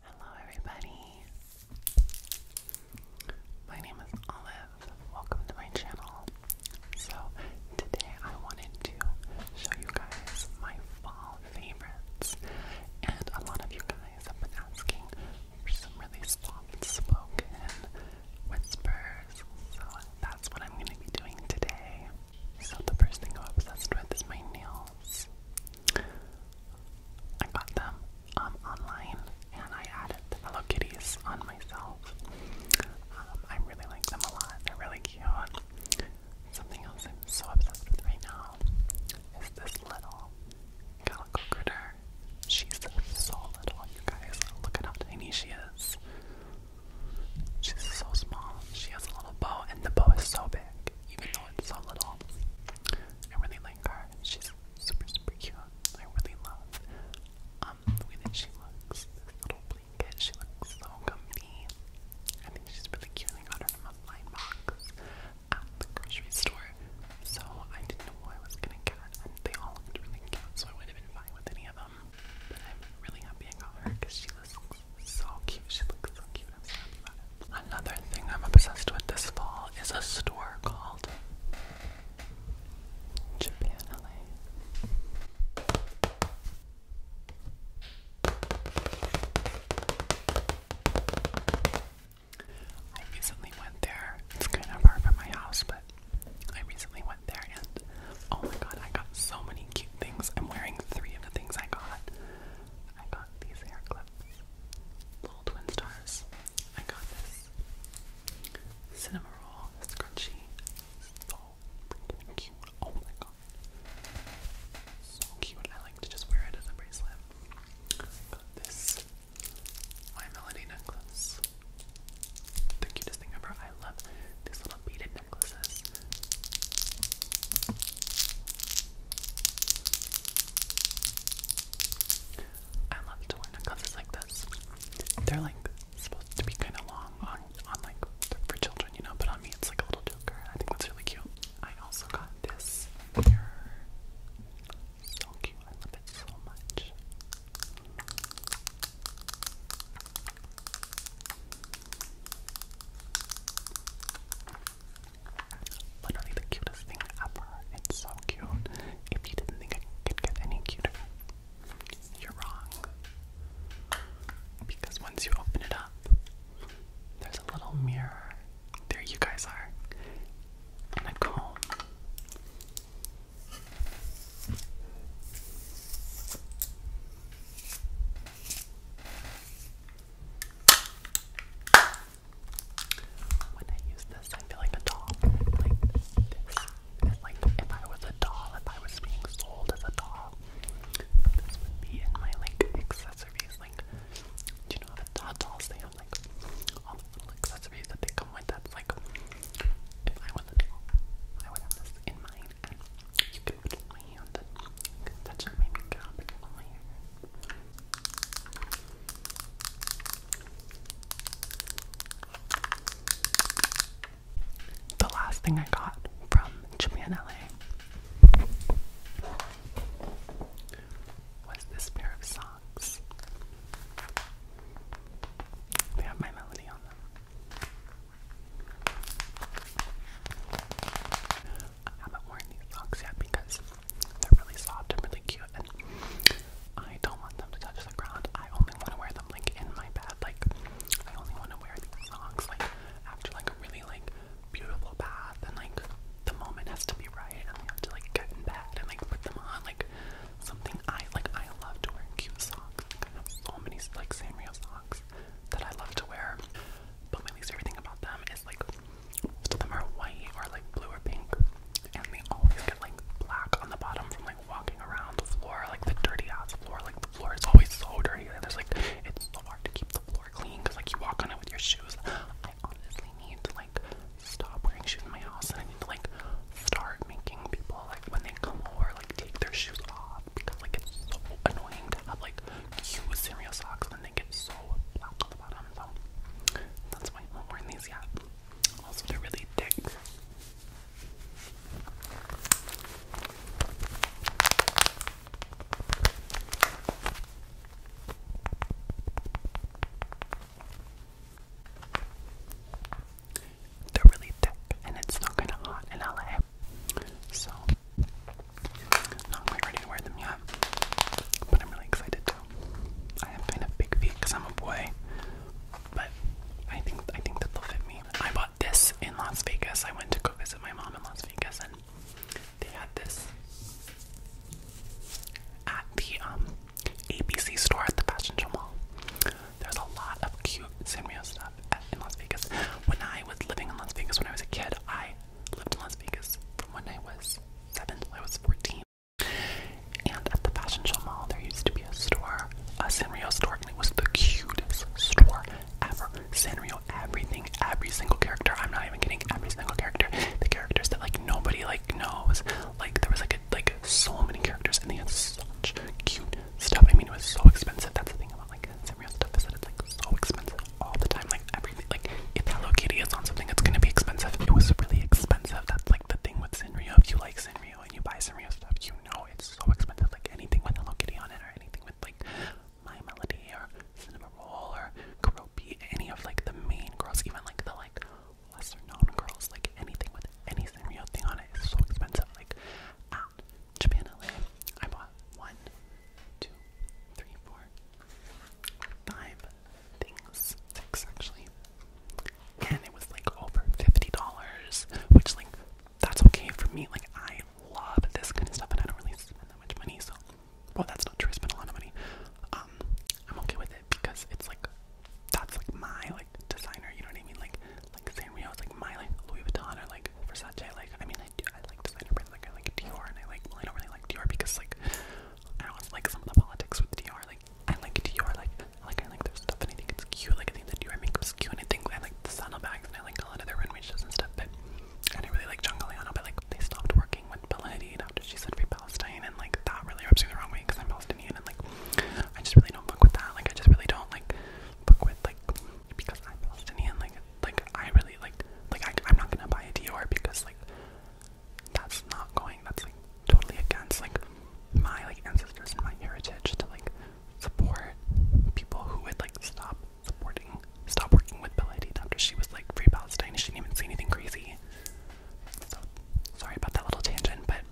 Hello, everybody. My name is Olive. Welcome to my channel. So, today I wanted to show you guys my fall favorites. And a lot of you guys have been asking for some really soft spoken whispers. So, that's what I'm going to be doing today. So the first thing I'm obsessed with is my nails. I got them um, online and I added the Hello Kitties on myself. Um, I really like them a lot. They're really cute. Something else I'm so obsessed with right now is this little calico critter. She's so little, you guys. Look at how tiny she is. She's so small. She has a little bow, and the bow is so big even though it's so little. I really like her. She's super, super cute. I really love um, the way that she looks. This little blanket, she looks so comfy. I think she's really cute. I got her from a blind box at the grocery store, so I didn't know what I was gonna get, and they all looked really cute, so I would have been fine with any of them. But I'm really happy I got her because she looks so cute. She looks so cute. Another thing I'm obsessed with this fall is a store called Japan LA. I recently went there. It's kind of far from my house, but I recently went there and oh my god, I got so many cute things. I'm wearing three of the things I got. I got these hair clips. Little twin stars. I got this cinema roll scrunchie. So cute. Oh my god. So cute. I like to just wear it as a bracelet. got this My Melody necklace. The cutest thing ever. I love these little beaded necklaces. I love to wear necklaces like this. They're like supposed to be kind of long on, on like for children, you know, but on me it's like a little joker. I think that's really cute. I also got this mirror. So cute. I love it so much. Literally the cutest thing ever. It's so cute. If you didn't think it could get any cuter, you're wrong. Because once you open it up, there's a little mirror. There you guys are. a comb. When I use this, I feel like a doll. Like this. like if I was a doll, if I was being sold as a doll, this would be in my like accessories. Like, do you know how the doll dolls they have like all the little accessories that they come with? That's like if I was a doll, I would have this in mine. The last thing I got from Japan LA was this pair of socks. They have my melody on them. I haven't worn these socks yet because they're really soft and really cute, and I don't want them to touch the ground. I only want to wear them like in my bed. Like I only want to wear these socks like after like a really like beautiful bath, and like the moment has to be right, and I have to like get in bed and like put them on. Like something I like. I love to wear cute socks. I have so many like Sanrio socks that I love to wear. But my least favorite thing about them is like most of them are white or like blue or pink, and they always get like black on the bottom from like walking around the floor, like the dirty ass floor. Like the floor is always so dirty, and there's like it's so hard to keep the floor clean because like you walk on it with your shoes. I honestly need to like stop wearing shoes in my house, and I need to like start making people like when they come over like take their shoes off because like it's so annoying to have like cute cereal socks they get so black on the bottom, so that's why I haven't worn these yet. Also, they're really thick. They're really thick and it's not kind of hot in LA. So not quite ready to wear them yet, but I'm really excited too. I have kind of big feet because I'm a boy, but I think I think that they'll fit me. I bought this in Las Vegas. I went to go visit my mom in Las Vegas, and they had this at the um, ABC store at the Fashion Show Mall. There's a lot of cute Sanrio stuff at, in Las Vegas. When I was living in Las Vegas when I was a kid, I lived in Las Vegas from when I was seven till I was 14. And at the Fashion Show Mall, there used to be a store, a Sanrio store, and it was the cutest store ever. Sanrio, everything, every single character. I'm not even kidding. Every single character, the characters that like nobody like knows. Like there was like like so many characters, and they had such cute stuff. I mean, it was so expensive. That's the thing about like and stuff is that it's like so expensive all the time. Like everything, like if Hello Kitty is on something, it's gonna be expensive. It was really expensive. That's like the thing with Sanrio. If you like Sanrio and you buy Sanrio stuff, you know it's so expensive. Like anything with Hello Kitty on it, or anything with like My Melody or Cinema or Karopi, any of like the main girls, even like the like lesser known girls, like anything with any Sanrio thing on it is so expensive. Like at Japan LA, I bought one, two, three, four, five things, six actually. And it was like over fifty dollars, which like that's okay for me. Like I love this kind of stuff, and I don't really spend that much money. So, well, that's not true. I spend a lot of money. Um, I'm okay with it because it's like that's like my like designer. You know what I mean? Like like Sanrio is like my like Louis Vuitton or like Versace. Like I mean, I do. I like designer brands. Like I like Dior, and I like. Well, I don't really like Dior because like I don't like some of the politics with Dior. Like I like Dior. Like like I like their stuff, and I think it's cute. Like I think the Dior makeup's cute, and I think I like the saddlebags, and I like a lot of their runway shows and stuff. But and I really like Giancarlo, but like they stopped working with Bella Hadid after she said free Palestine, and like that really rubs me the wrong way because I'm Palestinian, and like I just really don't fuck with that. Like I just really don't like fuck with like because I'm Palestinian. Like like I really like like I, am not gonna buy a Dior because like that's not going that's like totally against like my like ancestors and my heritage to like support people who would like stop supporting stop working with Bella Hadid after she was like free Palestine she didn't even say anything crazy. So sorry about that little tangent, but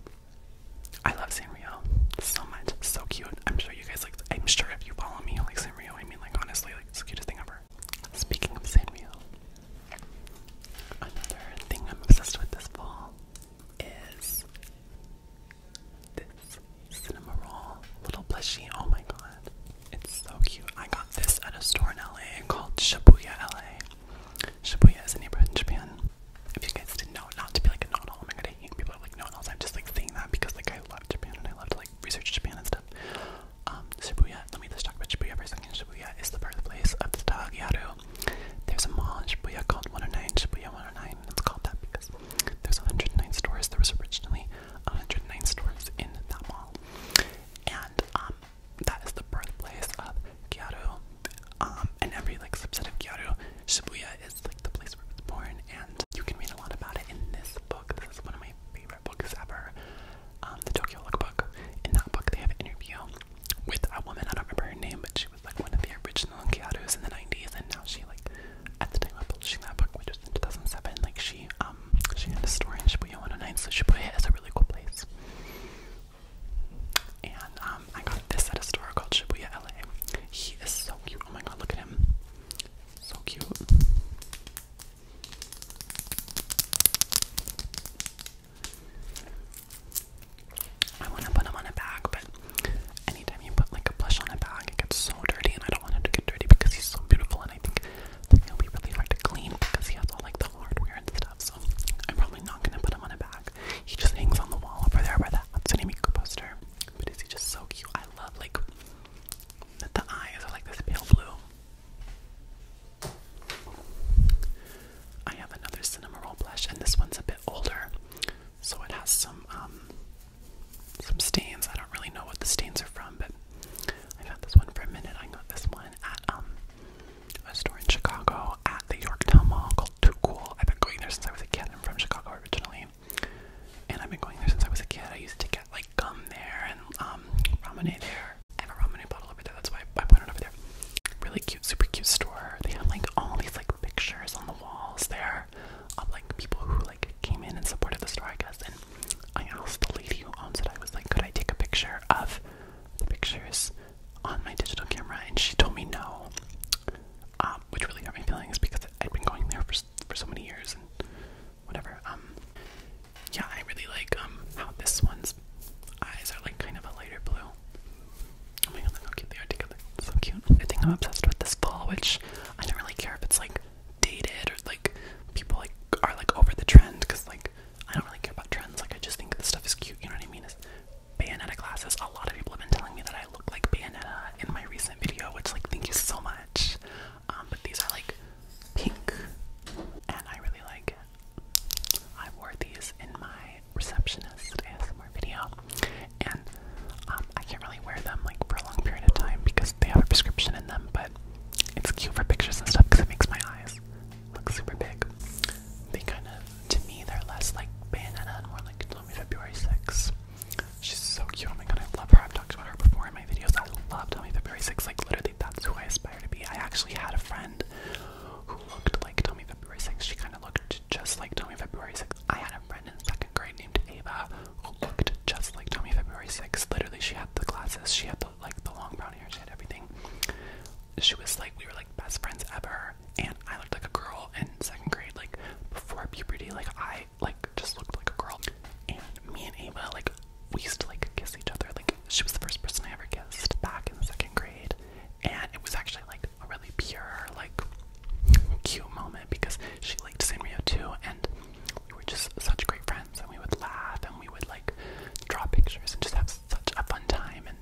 I love Sanrio so much. So cute. I'm sure you guys like I'm sure if you follow me you like Sanrio, I mean like honestly like it's the cutest thing ever. Speaking of Samuel, another thing I'm obsessed with this fall is this cinema roll little plushie. Oh my god, it's so cute. I got this at a store in LA called Shibuya LA. Shibuya is a neighborhood in Japan. If you guys didn't know, not to be like a non oh my god, I hate people like no I'm just like saying that because like I love Japan and I love to like research Japan and stuff. Um, Shibuya, let me just talk about Shibuya for a second. Shibuya is the birthplace of the style Gyaru. There's a mall in Shibuya called 109, Shibuya 109, and it's called that because there's 109 stores. There was originally 109 stores in that mall. And um, that is the birthplace of Gyaru. Um, and every like subset of Gyaru, Shibuya is like the place where it was born, and you can read a lot about it in this book. This is one of my favorite books ever um, the Tokyo Lookbook. In that book, they have an interview with a woman. I don't remember her name, but she was like one of the original Kiados in the '90s, and now she like at the time of publishing that book, which was in 2007, like she um she had a store in Shibuya 109, so Shibuya is a really cool place. And um, I got this at a store called Shibuya LA. He is so cute. Oh my god, look at him. So cute. I want to put them on a bag, but anytime you put like a plush on a bag, it gets so dirty, and I don't want him to get dirty because he's so beautiful, and I think it'll be really hard to clean because he has all like the hardware and stuff. So I'm probably not gonna put him on a bag. He just hangs on the wall over there by the Hatsune Miku But is he just so cute? I love like that the eyes are like this pale blue. I have another cinema roll blush, and this one's a bit older, so it has some um, some stains. I don't really know what the stains are from, but I've had this one for a minute. I got this one at um, a store in Chicago at the Yorktown Mall called Too Cool. I've been going there since I was a kid. I'm from Chicago originally, and I've been going there since I was a kid. I used to get like gum there and um ramen there. I have a ramen bottle over there, that's why I put it over there. Really cute, super cute store. They have like all these like pictures on the walls there of like people who like came in and supported the store, I guess. And I asked the lady who owns it, I was like, could I take a picture of the pictures on my digital camera? And she told me no, um, which really hurt my feelings because I'd been going there for for so many years and whatever. Um, yeah, I really like um how this one's eyes are like kind of a lighter blue. Oh my god, look how cute they So cute. I think I'm obsessed with this fall, which I don't really care if it's like dated or like people like are like over the trend because like I don't really care about trends. Like I just think this stuff is cute. You know what I mean? It's Bayonetta glasses. A lot of people have been telling me that I look like Bayonetta in my recent video, which like thank you so much. Um, but these are like pink, and I really like I wore these in my receptionist ASMR video, and um, I can't really wear them like for a long period of time because they have a prescription in them, but it's cute for pictures and stuff because it makes my eyes look super big. They kind of, to me, they're less like bandana and more like Tommy February 6. She's so cute. Oh my god, I love her. I've talked about her before my videos. I love Tommy February Berry Six. Like literally, that's who I aspire to be. I actually had a friend who looked like Tommy February 6. She kind of looked just like Tommy February 6. I had a friend in second grade named Ava who looked just like Tommy February 6. Literally, she had the glasses. She had the like the long brown hair. She had everything. She was like we were like best friends ever. And I looked like a girl in second grade, like before puberty. Like I like just looked like a girl. And me and Ava like we used to like kiss each other. Like she was the first person I ever kissed back in the second grade, and it was actually like a really pure, like cute moment because she liked Sanrio too, and we were just such great friends, and we would laugh and we would like draw pictures and just have such a fun time. And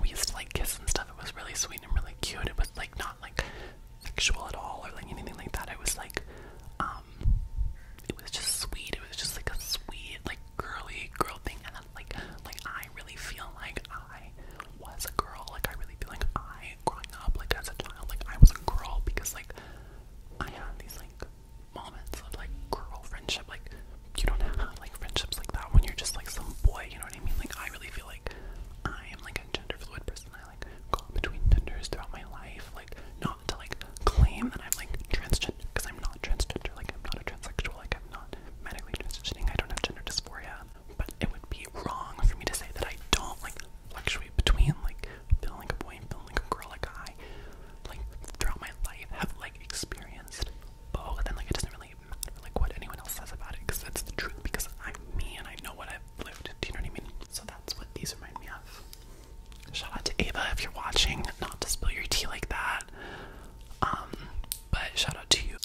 we used to like kiss and stuff. It was really sweet and really cute. It was like not like sexual at all or like anything like that. It was like um, um, it was just sweet. It was just like a sweet, like girly girl thing, and then, like, like I really feel like I was a girl. Like I really feel like I, growing up, like as a child, like I was a girl because like I had these like moments of like girl friendship. Like you don't have like friendships like that when you're just like some boy. You know what I mean? Like I really feel like I am like a gender fluid person between genders throughout my life, like not to like claim that I'm like transgender because I'm not transgender, like I'm not a transsexual, like I'm not medically transitioning, I don't have gender dysphoria. But it would be wrong for me to say that I don't like fluctuate between like feeling like a boy and feeling like a girl, like I like throughout my life have like experienced both, and like it doesn't really matter like what anyone else says about it because that's the truth because I'm me and I know what I've lived. Do you know what I mean? So that's what these remind me of. Shout out to Ava if you're watching. Not to spill your tea like that. Um, but shout out to you.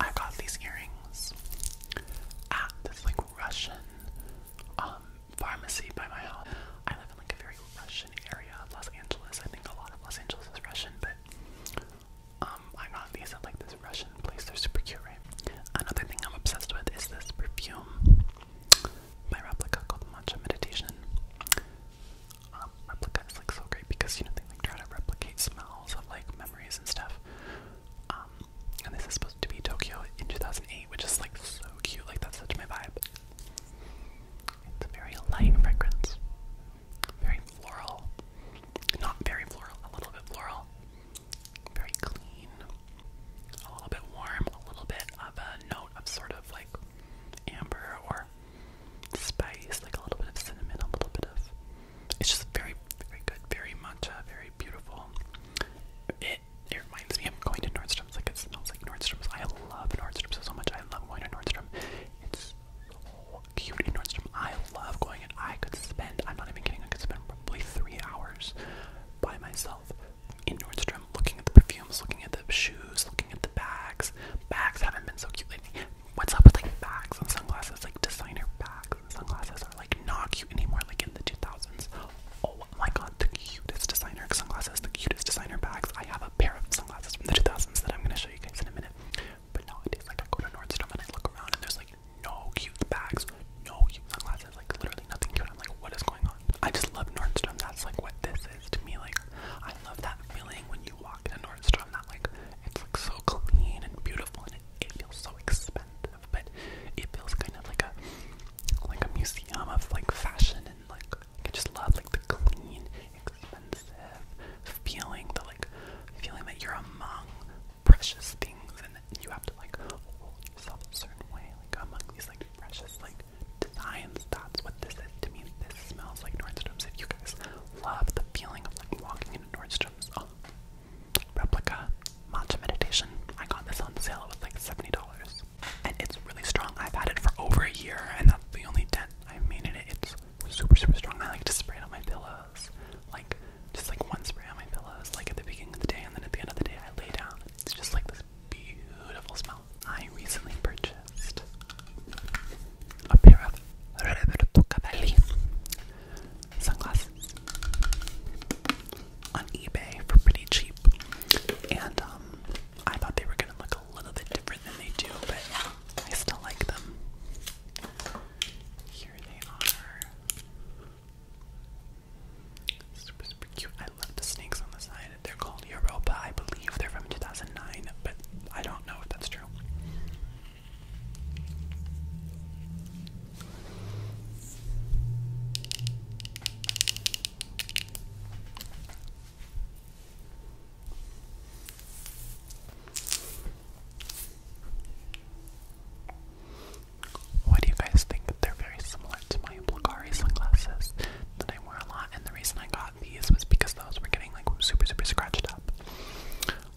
I got these earrings at this like Russian um, pharmacy by my house. I live in like a very Russian area of Los Angeles. I think a lot of Los Angeles is Russian, but um, I got these at like this Russian place. They're super cute, Another thing I'm obsessed with is this perfume My Replica called Matcha Meditation. Um, like so great because you know they like try to replicate smells of like memories and stuff. Um, and this is supposed to be Tokyo in 2008, which is like so cute. Like that's such my vibe. It's a very light fragrance, very floral, not very floral, a little bit floral very clean, a little bit warm, a little bit of a note of sort of like amber or spice, like a little bit of cinnamon, a little bit of. It's just very, very good, very matcha, very beautiful. It reminds me I'm going to Nordstrom's. Like it smells like Nordstrom's. I love Nordstrom's so much. I love going to Nordstrom. It's so cute in Nordstrom. I love going and I could spend. I'm not even kidding. I could spend probably three hours by myself in Nordstrom, looking at the perfumes, looking at the shoes, looking at the bags. Bags haven't been so cute lately. What's up with like bags and sunglasses? Like designer bags and sunglasses are like not cute anymore. Like in the 2000s. Oh my god, the cutest designer sunglasses, the cutest designer bags. I have a pair of sunglasses from the 2000s that I'm gonna show you guys in a minute. But nowadays, like I go to Nordstrom and I look around and there's like no cute bags, no cute sunglasses, like literally nothing cute. I'm like, what is going on? I just love Nordstrom. That's like what this is to me. Like, I love that feeling when you walk into Nordstrom. That like, it's like so clean and beautiful, and it, it feels so expensive, but it feels kind of like a like a museum of like fashion and like I just love like the clean, expensive feeling. The like feeling that you're among precious things and you have to like hold yourself a certain way. Like among these like precious like designs, that's what this is to me. This smells like Nordstrom's. If you guys love the feeling of like walking into Nordstrom's um, replica matcha meditation, I got this on sale. It was like seventy dollars, and it's really strong. I've had it for over a year, and that's the only dent I've made in it. It's super super strong. I like to spray it on my pillow. Like, just like one spray on my pillows, like at the beginning of the day, and then at the end of the day, I lay down. It's just like this beautiful smell. I recently purchased a pair of Roberto Cavalli sunglasses on eBay for pretty cheap, and um, I thought they were gonna look a little bit different than they do, but I still like them. Here they are. Super, super cute. I love the snakes on the side. They're called Europa. I believe they're from 2009, but I don't know if that's true. Why do you guys think they're very similar to my Bulgari sunglasses that I wear a lot? And the reason I got these was because those were getting like super, super scratched up.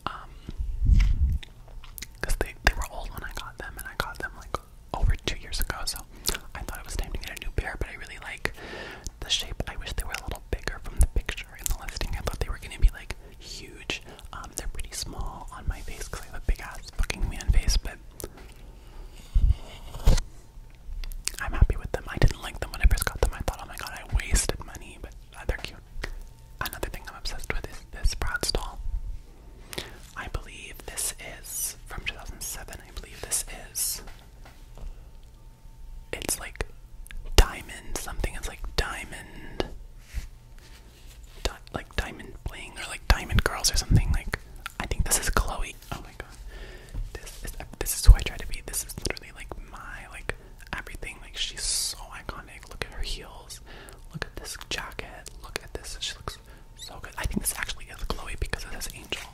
Um, because they, they were old when I got them, and I got them like over two years ago, so I thought it was time to get a new pair, but I really like the shape. I wish they were a little bigger from the picture in the listing. I thought they were gonna be like huge. Um, they're pretty small on my face because I have a big ass fucking man face, but I'm happy with them. I didn't like them when I first got them. I thought, oh my god, I wasted money, but uh, they're cute. Another thing I'm obsessed with is this Bratz stall. I believe this is from 2007. I believe this is. It's like diamond something. It's like diamond like Diamond Bling or like Diamond Girls or something. Like I think this is Chloe. Oh my god, this is this is who I try to be. This is literally like my like everything. Like she's so iconic. Look at her heels. Look at this jacket. Look at this. She looks so good. I think this actually is Chloe because of this Angel,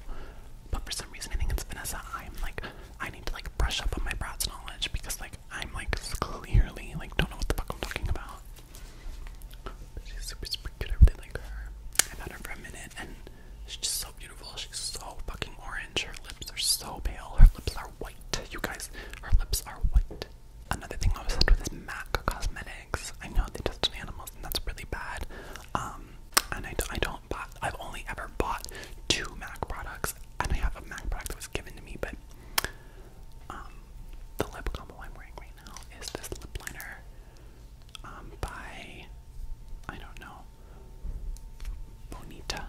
but for some reason I think it's Vanessa. I'm like I need to like brush up on my Bratz knowledge because like I'm like clearly like don't know what the fuck I'm talking about. She's super, super good. I really like her. I've her for a minute, and she's just so beautiful. She's so fucking orange. Her lips are so pale. Her lips are white. You guys, her lips are white. Another thing I was obsessed with is MAC Cosmetics. I know they test on animals, and that's really bad. Um, and I, I don't buy. I've only ever bought two MAC products, and I have a MAC product that was given to me, but um, the lip combo I'm wearing right now is this lip liner um, by, I don't know, Bonita.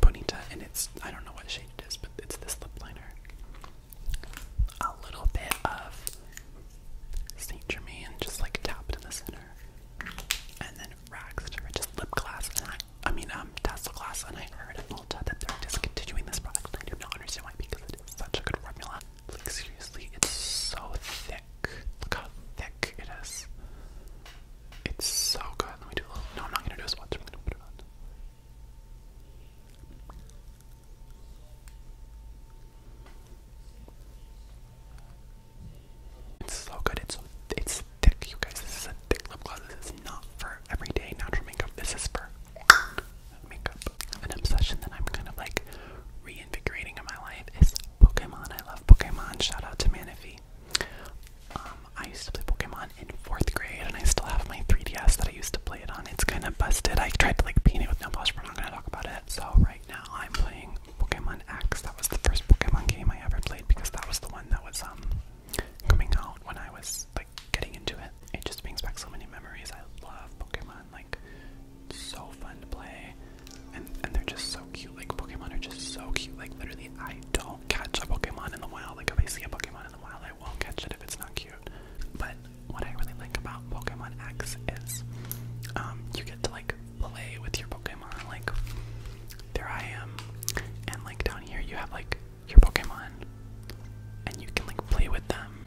Bonita, and it's, I don't know what shade it is, but it's this lip liner. A little bit of St. Germain just like tapped in the center. And then waxed to Riches lip gloss, and I mean, um, Tesla Glass, and I heard at Malta that they're discontinuing this product. I do not understand why, because it is such a good formula. Like, seriously, it's so thick. Look how thick it is. It's so good. Let me do a little. No, I'm not gonna do a swatch. I'm gonna put it on. It's so good. It's it's thick, you guys. This is a thick lip gloss. This is not for everyday natural makeup. This is for makeup. An obsession that I'm kind of like reinvigorating in my life is Pokemon. I love Pokemon. Shout out to Manaphy. Um, I used to play Pokemon in fourth grade, and I still have my 3DS that I used to play it on. It's kind of busted. I tried to like paint it with nail polish, but we're not gonna talk about it. So right now, I'm playing Pokemon X. That was the first Pokemon game I ever played because that was the one that was um coming out when I was like getting into it. It just brings back so many memories. I love Pokemon, like so fun to play. And and they're just so cute. Like Pokemon are just so cute. Like literally I don't catch a Pokemon in the wild. Like if I see a Pokemon in the wild, I won't catch it if it's not cute. But what I really like about Pokemon X is um you get to like play with your Pokemon like, there I am. And, like, down here you have, like, your Pokemon. And you can, like, play with them.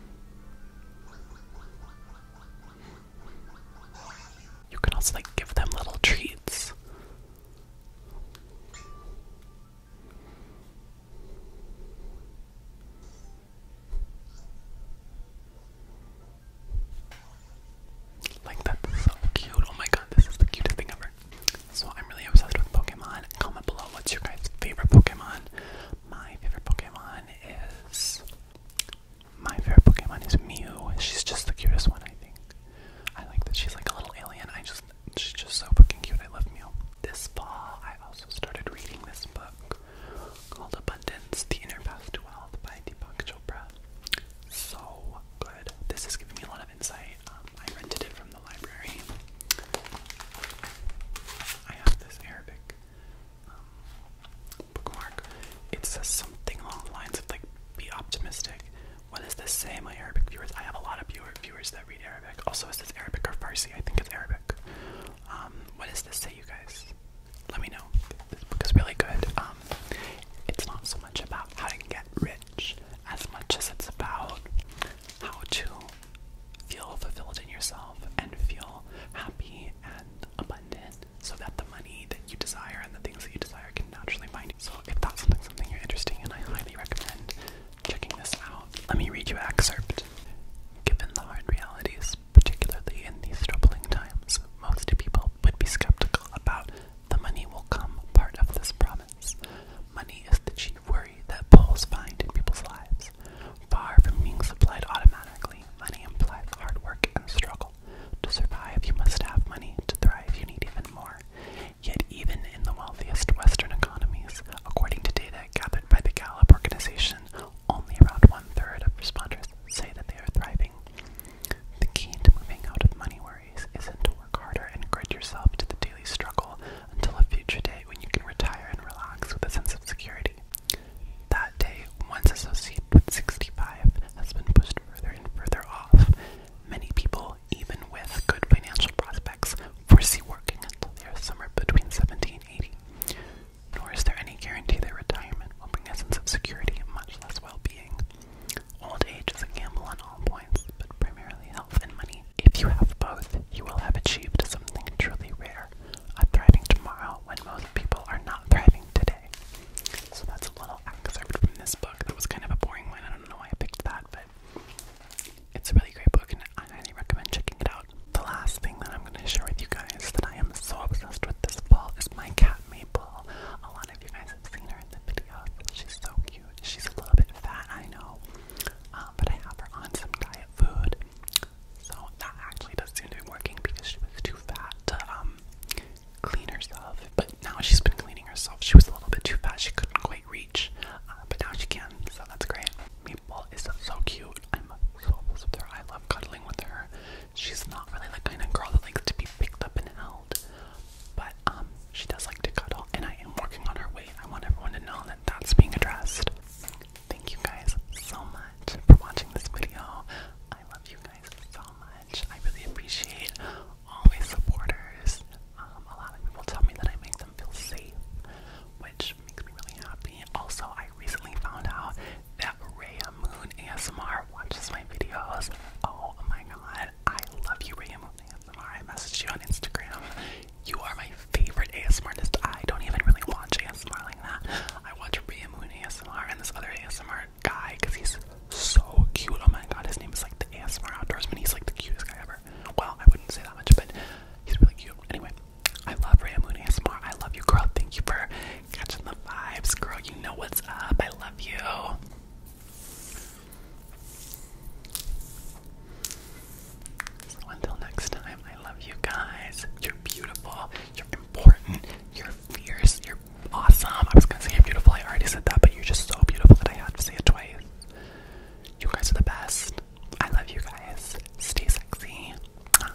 You can also, like, give them little treats. Like that's so cute. Oh my god, this is the cutest thing ever. So I'm really obsessed with Pokemon. Comment below what's your guys' favorite Pokemon. My favorite Pokemon is my favorite Pokemon is Mew. She's just the cutest one, I think. I like that she's like a little alien. I just she's just so fucking cute. I love Mew. This fall, I also started reading this book called Abundance: The Inner Path to Wealth by Deepak Chopra. So good. This is giving me a lot of insight. Um, I rented it from the library. I have this Arabic um, bookmark. It says something along the lines of like, be optimistic. What does this say, my Arabic viewers? I have a lot of viewer, viewers that read Arabic. Also, is this Arabic or Farsi? I think it's Arabic. Um, what does this say, you guys? Let me know. This book is really good. Um, it's not so much about how to get rich as much as it's about how to feel fulfilled in yourself and feel happy and abundant so that the money that you desire and the things that you desire can naturally find you. So if that's something, something you're interested in, I highly recommend checking this out. Let me read you an excerpt. Given the hard realities, particularly in these troubling times, most people would be skeptical about the money will come part of this promise. Money is the chief worry that polls find in people's lives. Far from being supplied automatically, money implies hard work and struggle. To survive, you must have money. To thrive, you need even more. Yet, even in the wealthiest Western economies, according to data gathered by the Gallup organization, only around one third of respondents say that they are thriving. The key to moving out of money worry isn't to work harder and grit yourself to the daily struggle until a future day when you can retire and relax with a sense of security. That day, once associated with 65, has been pushed further and further off. Many people, even with good financial prospects, foresee working until they are somewhere between 70 and 80. Nor is there any guarantee that retirement will bring a sense of security, much less well being. Old age is a gamble on all points, but primarily health and money. If you have both, you will have achieved something truly rare, a thriving tomorrow when most people are not thriving today. So that's a little excerpt from this book. That was kind of a boring one. I don't know why I picked that, but it's a really great book and I highly recommend checking it out. The last thing that I'm going to share with you guys that I am so obsessed with this fall is my cat Maple. A lot of you guys have seen her in the videos. She's so cute. She's a little bit fat, I know, um, but I have her on some diet food. So that actually does seem to be working because she was too fat to um, clean herself. But now she's been cleaning herself. She was a little bit too fat. She couldn't quite reach, uh, but now she can. So that's great. Meatball is so cute. I'm so obsessed with her. I love cuddling with her. She's not really the kind of girl that likes to be picked up and held. But um, she does like to cuddle, and I am working on her weight. I want everyone to know that that's being addressed. Thank you guys so much for watching this video. I love you guys so much. I really appreciate all my supporters. Um, a lot of people tell me that I make them feel safe, which makes me really happy. Also, I recently found out that Raya Moon ASMR watches my videos. Oh my god, I love you, Raya Moon ASMR. I messaged you on Instagram. You are my favorite ASMRist. I don't even really watch ASMR like that. I watch Ria Moon ASMR and this other ASMR guy because he's so cute. Oh my god, his name is like the ASMR outdoorsman. He's like the cutest guy ever. Well, I wouldn't say that much, but he's really cute. Anyway, I love Ria Moon ASMR. I love you, girl. Thank you for catching the vibes, girl. You know what's up. I love you. So until next time, I love you guys. You're beautiful. You're important. You're fierce. You're awesome. I was gonna say you're beautiful. I already said that, but you're just so beautiful that I had to say it twice. You guys are the best. I love you guys. Stay sexy. Bye.